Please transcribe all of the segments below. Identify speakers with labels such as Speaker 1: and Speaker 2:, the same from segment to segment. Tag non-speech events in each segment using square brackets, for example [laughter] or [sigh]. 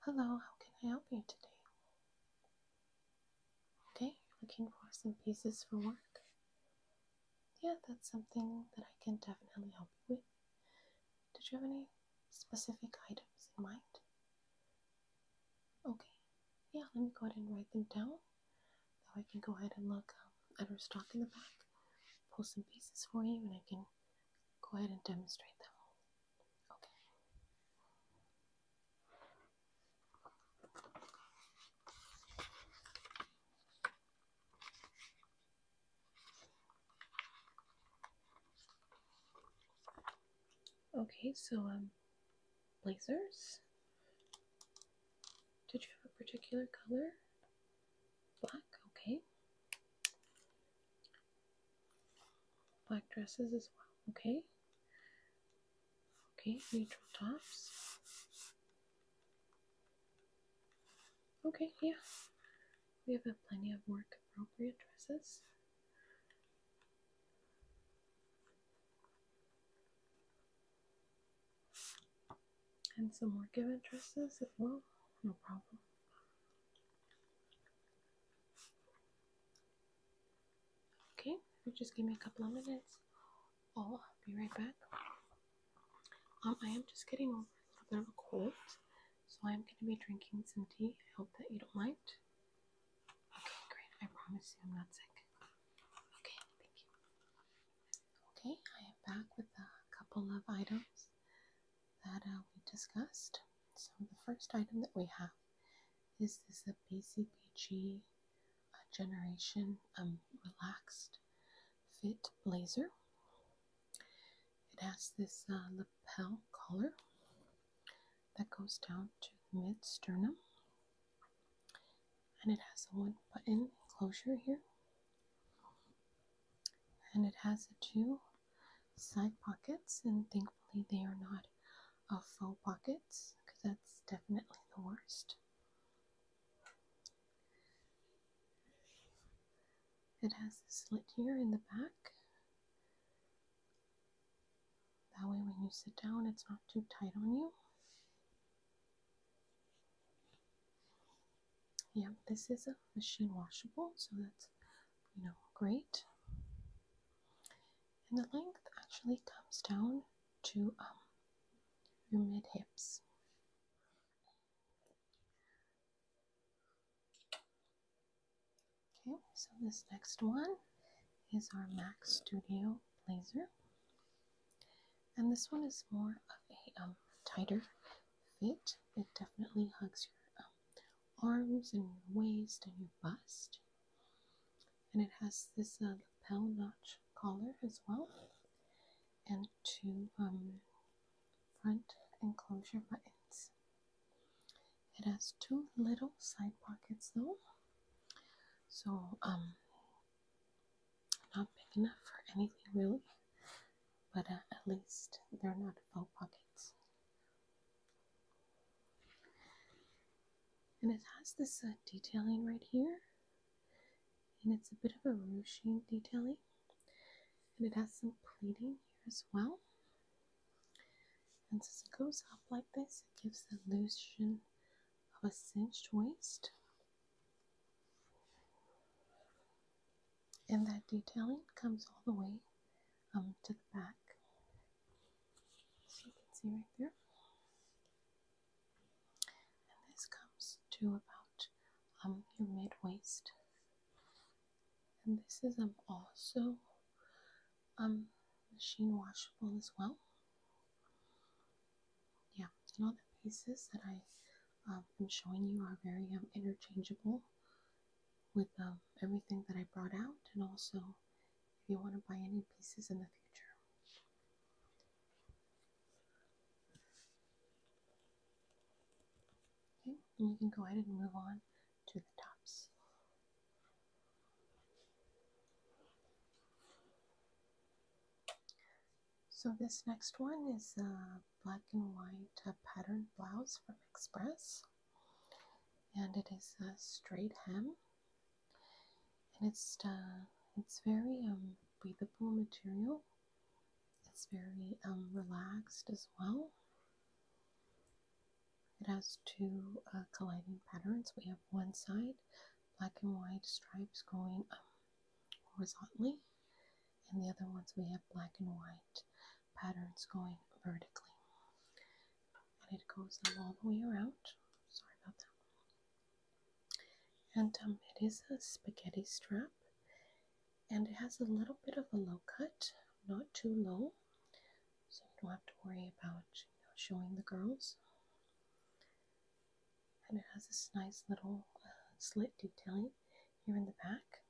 Speaker 1: Hello, how can I help you today? Okay, you're looking for some pieces for work? Yeah, that's something that I can definitely help you with. Did you have any specific items in mind? Okay, yeah, let me go ahead and write them down. so I can go ahead and look um, at our stock in the back, pull some pieces for you, and I can go ahead and demonstrate them. Okay. Okay, so um blazers. Did you have a particular color? Black, okay black dresses as well. Okay. Okay, neutral tops. Okay, yeah. We have plenty of work appropriate dresses. And some work event dresses as well. No problem. Okay, just give me a couple of minutes. I'll be right back. Um, I am just getting over a little bit of a cold, so I'm going to be drinking some tea. I hope that you don't mind. Okay, great. I promise you I'm not sick. Okay, thank you. Okay, I am back with a couple of items that uh, we discussed. So the first item that we have is this a BCBG uh, Generation um, Relaxed Fit Blazer. It has this uh, lapel collar that goes down to mid sternum, and it has a one button closure here, and it has a two side pockets, and thankfully they are not a uh, faux pockets because that's definitely the worst. It has a slit here in the back. That way, when you sit down, it's not too tight on you. Yep, this is a machine washable, so that's you know, great. And the length actually comes down to um, your mid hips. Okay, so this next one is our Mac Studio blazer, and this one is more of a um, tighter fit. It definitely hugs your um, arms and waist and your bust. And it has this uh, lapel notch collar as well, and two um, front enclosure buttons. It has two little side pockets though, so um, not big enough for anything really, but uh, at least they're not faux pockets. And it has this uh, detailing right here, and it's a bit of a ruching detailing, and it has some pleating here as well. And since it goes up like this, it gives the illusion of a cinched waist. And that detailing comes all the way um, to the back. So you can see right there. And this comes to about um, your mid waist. And this is um, also um, machine washable as well. Yeah, and all the pieces that I um, am showing you are very um, interchangeable with um, everything that I brought out, and also if you want to buy any pieces in the future. Okay, and you can go ahead and move on to the tops. So this next one is a black and white uh, patterned blouse from Express and it is a straight hem and it's uh, it's very um, breathable material it's very um, relaxed as well it has two uh, colliding patterns we have one side black and white stripes going um, horizontally and the other ones we have black and white patterns going vertically. And it goes all the way around. Sorry about that. And um, it is a spaghetti strap. And it has a little bit of a low cut, not too low. So you don't have to worry about showing the girls. And it has this nice little uh, slit detailing here in the back.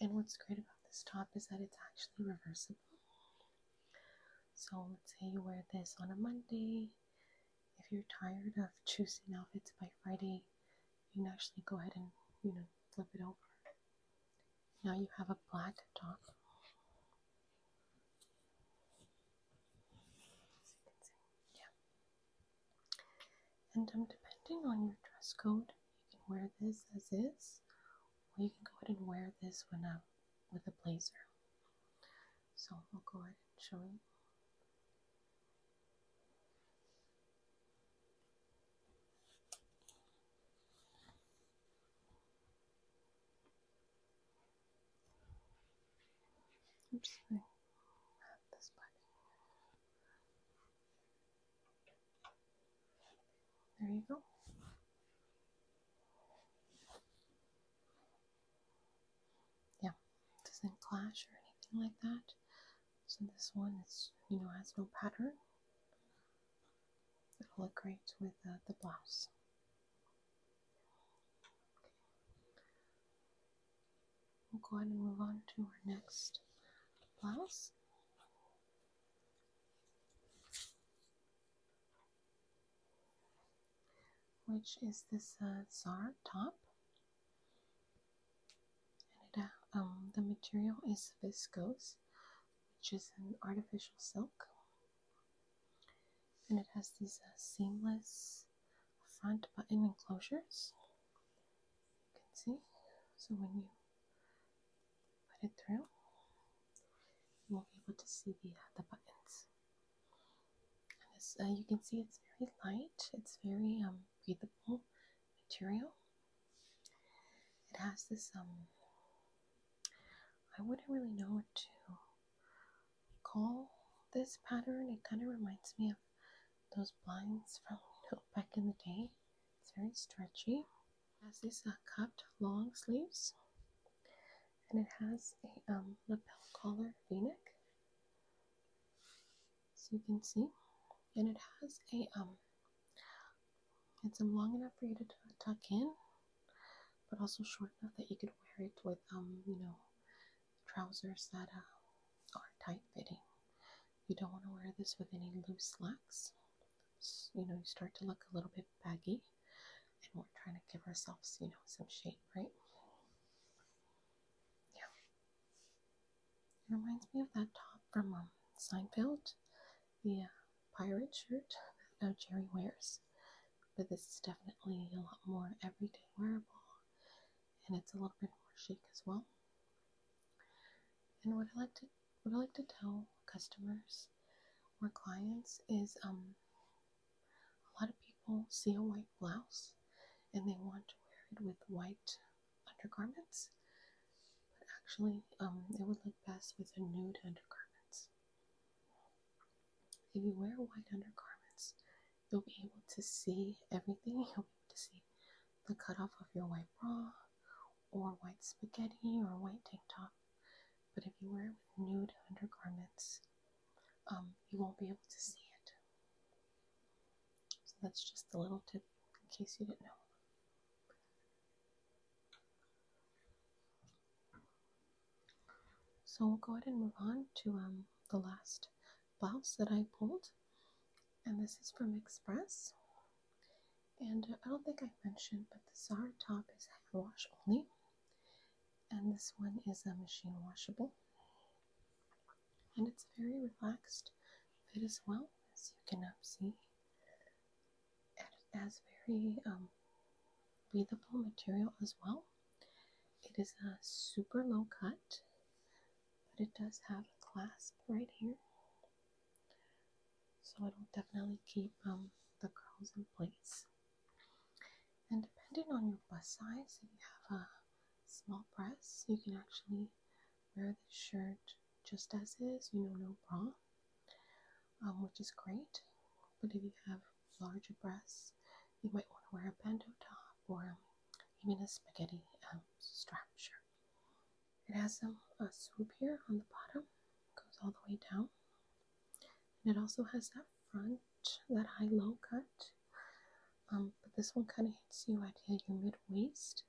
Speaker 1: And what's great about this top is that it's actually reversible. So let's say you wear this on a Monday. If you're tired of choosing outfits by Friday, you can actually go ahead and you know flip it over. Now you have a black top. yeah. And um, depending on your dress code, you can wear this as is, or you can go ahead and wear this one up uh, with a blazer. So I'll go ahead and show you. Oops, I this button. There you go. Yeah, doesn't clash or anything like that. So this one is, you know, has no pattern. It'll look great with uh, the blouse. We'll go ahead and move on to our next blouse which is this uh, top and it, uh, um, the material is viscose which is an artificial silk and it has these uh, seamless front button enclosures you can see so when you put it through, you won't be able to see the, uh, the buttons. And this, uh, you can see it's very light, it's very um, breathable material. It has this, um, I wouldn't really know what to call this pattern. It kind of reminds me of those blinds from back in the day. It's very stretchy has this uh, cupped long sleeves and it has a um, lapel collar v-neck so you can see and it has a um it's um, long enough for you to tuck in but also short enough that you could wear it with um you know trousers that uh, are tight fitting you don't want to wear this with any loose slacks you know, you start to look a little bit baggy, and we're trying to give ourselves, you know, some shape, right? Yeah. It reminds me of that top from um, Seinfeld, the uh, pirate shirt [laughs] that Jerry wears. But this is definitely a lot more everyday wearable, and it's a little bit more chic as well. And what I like to what I like to tell customers or clients is um, a lot of people see a white blouse and they want to wear it with white undergarments, but actually, um, it would look best with a nude undergarments. If you wear white undergarments, you'll be able to see everything. [laughs] You'll be able to see the cut off of your white bra or white spaghetti or white tank top. But if you wear it with nude undergarments, um, you won't be able to see it. So that's just a little tip in case you didn't know. So we'll go ahead and move on to um, the last blouse that I pulled, and this is from Express. And I don't think I mentioned, but the Zara top is hand wash only, and this one is a machine washable. And it's very relaxed fit as well, as you can um, see. And it has very um, breathable material as well. It is a super low cut, but it does have a clasp right here. So it'll definitely keep um, the curls in place. And depending on your bust size, if you have a small breast, you can actually wear this shirt just as is, you know, no bra, um, which is great. But if you have larger breasts, you might want to wear a bandeau top or even a spaghetti um, strap shirt. It has some, a swoop here on the bottom, goes all the way down. And it also has that front, that high-low cut. Um, but this one kind of hits you at your mid-waist.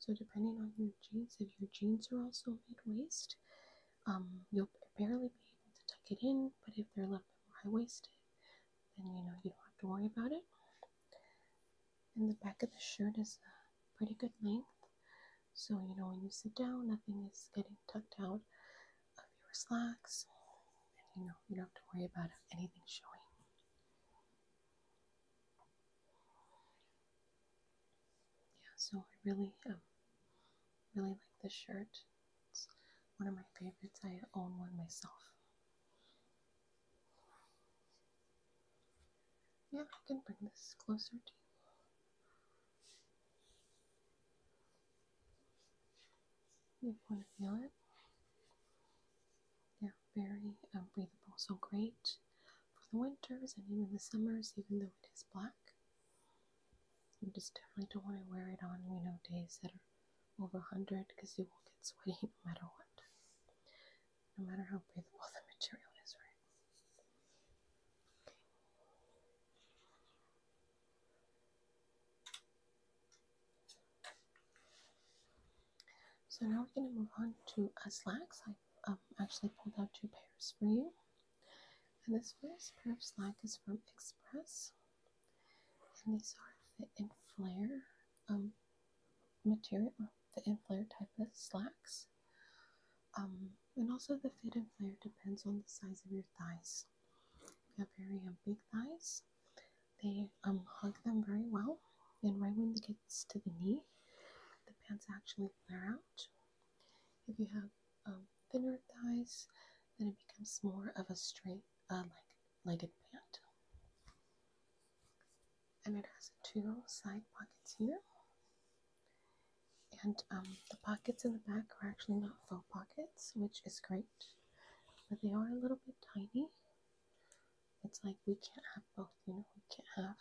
Speaker 1: So depending on your jeans, if your jeans are also mid-waist, um, you'll barely be able to tuck it in. But if they're a little bit more high-waisted, then you know you don't have to worry about it. And the back of the shirt is a pretty good length. So, you know, when you sit down, nothing is getting tucked out of your slacks, and you know, you don't have to worry about anything showing. Yeah, so I really, um, really like this shirt. It's one of my favorites. I own one myself. Yeah, I can bring this closer to you. You want to feel it? They're very um, breathable, so great for the winters and even the summers, even though it is black. You just definitely don't want to wear it on, you know, days that are over 100 because you will get sweaty [laughs] no matter what. No matter how breathable [laughs] the material is, right? So now we're going to move on to slacks. I um, actually pulled out two pairs for you. And this first pair of slacks is from Express. And these are fit and flare um, material, fit and flare type of slacks. Um, and also the fit and flare depends on the size of your thighs. If you have very um, big thighs, they um, hug them very well, and right when it gets to the knee, the pants actually flare out. If you have um, thinner thighs, then it becomes more of a straight, uh, like legged pant. And it has two side pockets here, and um, the pockets in the back are actually not faux pockets, which is great, but they are a little bit tiny. It's like we can't have both, you know, we can't have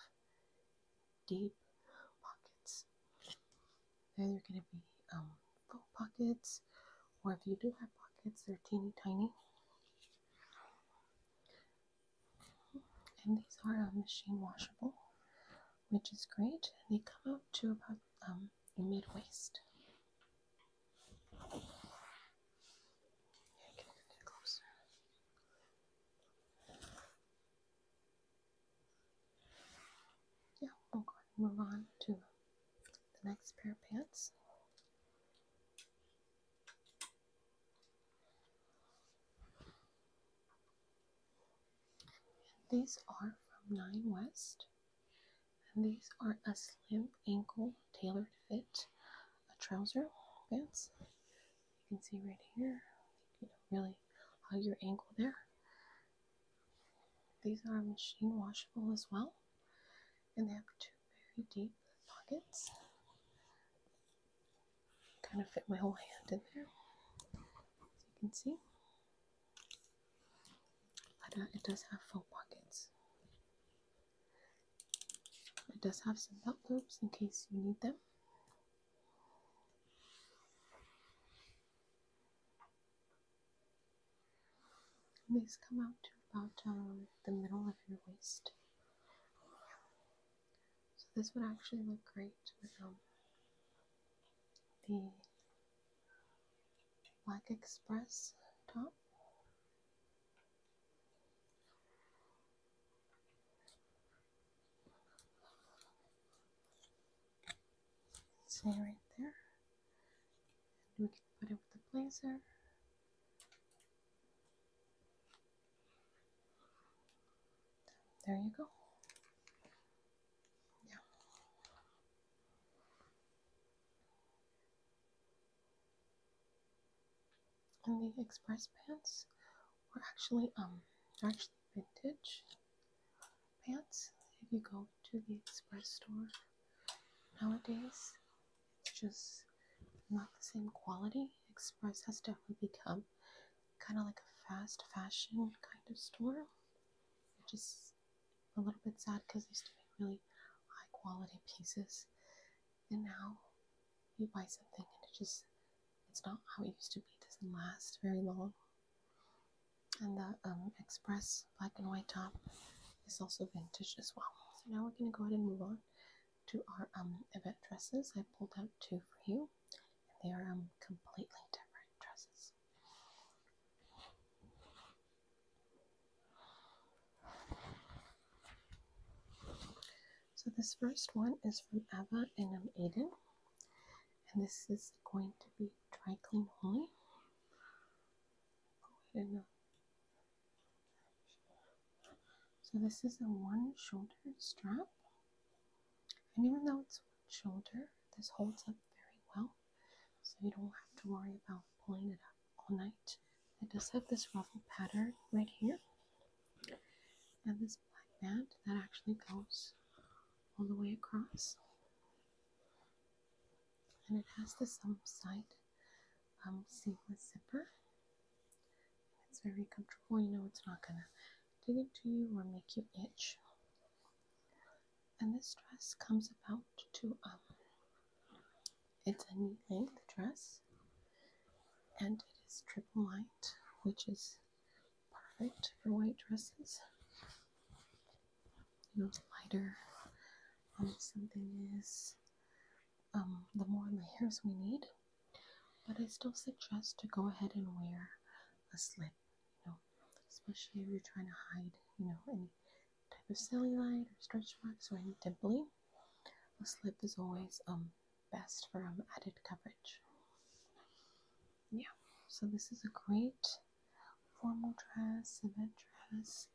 Speaker 1: deep pockets. They're going to be um, faux pockets, or if you do have pockets, they're teeny tiny. And these are um, machine washable, which is great. and They come up to about um, mid waist. Yeah, we'll go and move on to the next pair of pants. These are from Nine West, and these are a slim ankle tailored fit, a trouser pants. You can see right here, you know, really hug your ankle there. These are machine washable as well, and they have two very deep pockets kind of fit my whole hand in there, as you can see. Uh, it does have foam pockets. It does have some belt loops in case you need them. these come out to about um, the middle of your waist. So this would actually look great with um, the Black Express top. Say right there. we can put it with the blazer. There you go the express pants were actually um actually vintage pants. If you go to the express store nowadays, it's just not the same quality. Express has definitely become kind of like a fast fashion kind of store, which is a little bit sad because they used to be really high quality pieces, and now you buy something and it just it's not how it used to be. doesn't last very long. And the um, express black and white top is also vintage as well. So now we're gonna go ahead and move on to our um, event dresses. I pulled out two for you and they are um, completely different dresses. So this first one is from Ava and I'm Aiden, and this is going to be dry clean only. Oh, so this is a one shoulder strap and even though it's one shoulder, this holds up very well, so you don't have to worry about pulling it up all night. It does have this ruffle pattern right here, and this black band that actually goes all the way across. And it has this um, side um, seamless zipper. It's very comfortable, you know, it's not gonna dig into you or make you itch and this dress comes about to um it's a knee length dress and it is triple lined, which is perfect for white dresses. You know, the lighter something is, um, the more layers we need. But I still suggest to go ahead and wear a slip you know, especially if you're trying to hide, you know, any type of cellulite or stretch marks or any dimpling. A slip is always um best for um, added coverage. Yeah, so this is a great formal dress, event dress,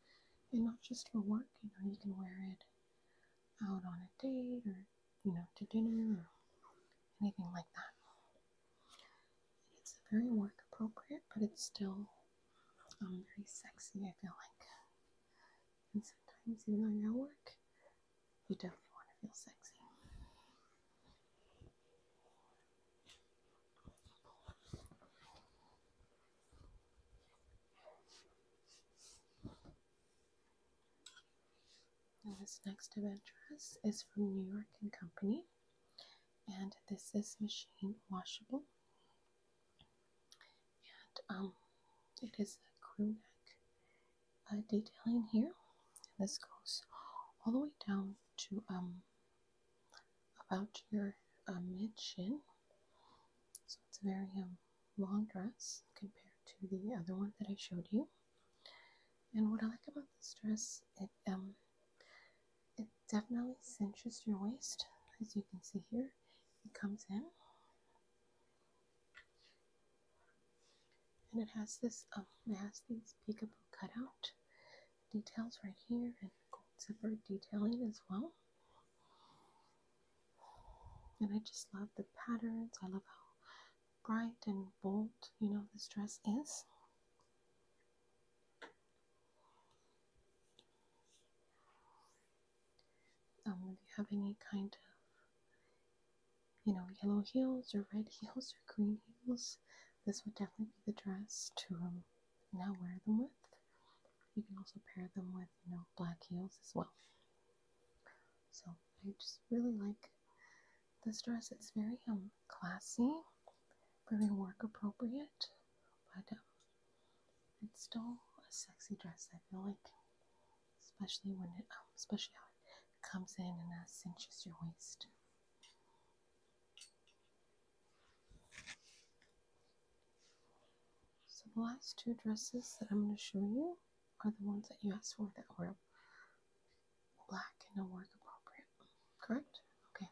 Speaker 1: and not just for work. You know, you can wear it out on a date or you know to dinner or anything like that it's very work appropriate, but it's still um, very sexy, I feel like. And sometimes, even though you're at work, you definitely want to feel sexy. Now this next event dress is from New York and Company, and this is machine washable, and um, it is a crew neck uh, detailing here. And this goes all the way down to um about your um, mid shin, so it's a very um long dress compared to the other one that I showed you. And what I like about this dress, it um it definitely cinches your waist, as you can see here. It comes in. And it has this, um, it has these peekaboo cutout details right here and gold zipper detailing as well. And I just love the patterns. I love how bright and bold, you know, this dress is. Um, if you have any kind of, you know, yellow heels or red [laughs] heels or green heels, this would definitely be the dress to um, now wear them with. You can also pair them with, you know, black heels as well. So I just really like this dress, is very um, classy, very work appropriate, but um, it's still a sexy dress. I feel like, especially when it, um, especially how it comes in and uh, cinches your waist. So the last two dresses that I'm going to show you are the ones that you asked for that were black and work appropriate correct? Okay.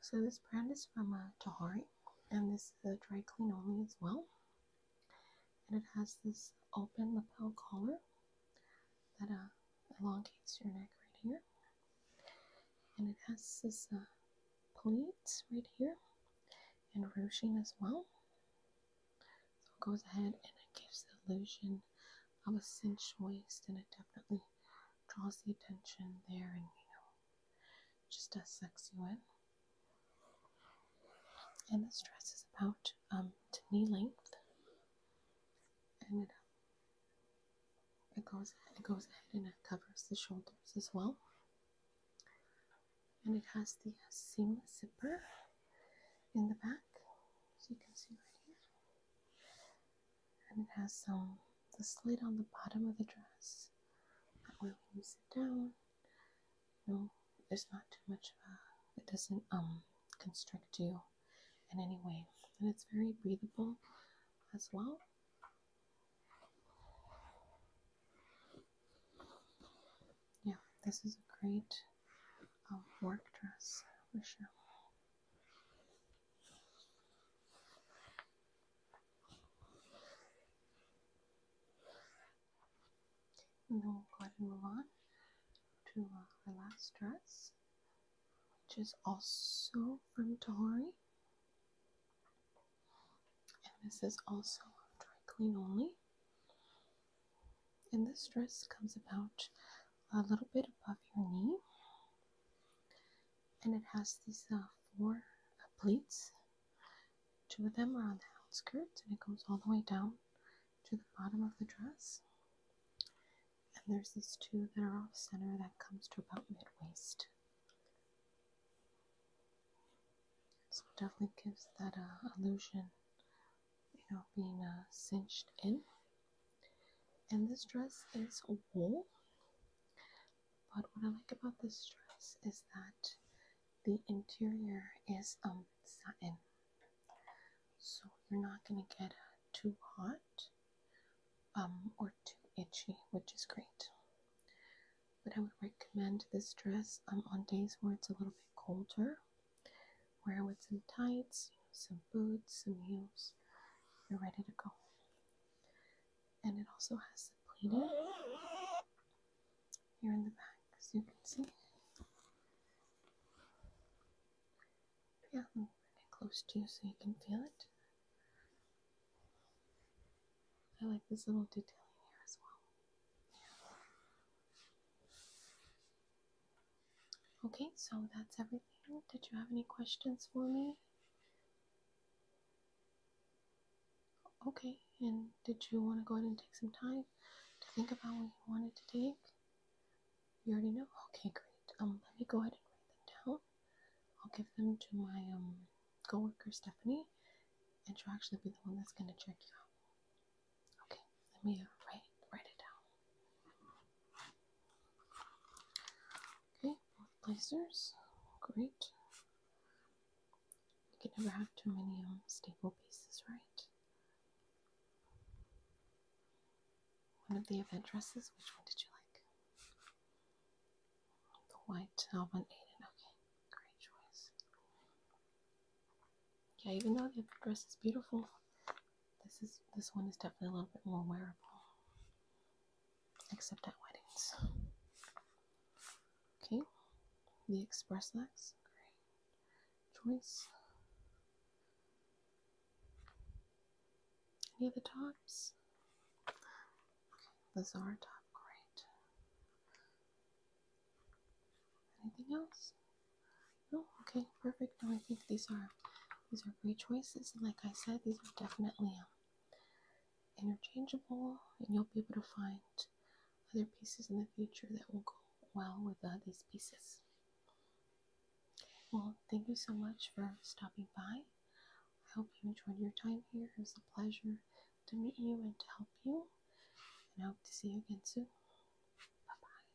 Speaker 1: So this brand is from uh, Tahari, and this is a dry clean only as well. And it has this open lapel collar that uh, elongates your neck right here. And it has this uh, pleats right here and ruching as well. So it goes ahead and it gives the illusion of a cinched waist, and it definitely draws the attention there, and you know, just does sexy you in. And this dress is about um, to knee length, and it, um, it goes it goes ahead and it covers the shoulders as well. And it has the uh, seamless zipper in the back, as you can see right here. And it has some the slit on the bottom of the dress. That way, when you sit down, you know, there's not too much of a, it doesn't um constrict you in any way, and it's very breathable as well. Yeah, this is a great a work dress for sure. And then we'll go ahead and move on to uh, our last dress, which is also from Tohori. And this is also dry clean only. And this dress comes about a little bit above your knee, and it has these uh, four pleats. Two of them are on the outskirts, and it goes all the way down to the bottom of the dress. And there's these two that are off center that comes to about mid waist. So it definitely gives that uh, illusion you know, being uh, cinched in. And this dress is wool. But what I like about this dress is that the interior is um satin. So you're not gonna get uh, too hot um or too itchy, which is great. But I would recommend this dress um on days where it's a little bit colder Wear with some tights, some boots, some heels. You're ready to go. And it also has the pleated here in the back, as you can see. Yeah, let me bring close to you so you can feel it. I like this little detailing here as well. Okay, so that's everything. Did you have any questions for me? Okay, and did you want to go ahead and take some time to think about what you wanted to take? You already know? Okay, great. Um, let me go ahead and write them down. I'll give them to my um coworker Stephanie, and she'll actually be the one that's gonna check you out. Okay, let me write write it down. Okay, lasers, great. You can never have too many um, stable pieces, right? One of the event dresses. Which one did you like? The white. I want Aiden. Okay, great choice. Yeah, even though the dress is beautiful, this is this one is definitely a little bit more wearable. Except at weddings. Okay. The express legs, great choice. Any other tops? Okay, the Zara top, great. Anything else? Oh, okay, perfect. No, I think these are these are great choices. And like I said, these are definitely um, interchangeable, and you'll be able to find other pieces in the future that will go well with uh, these pieces. Well, thank you so much for stopping by. I hope you enjoyed your time here. It was a pleasure to meet you and to help you. And I hope to see you again soon. Bye bye.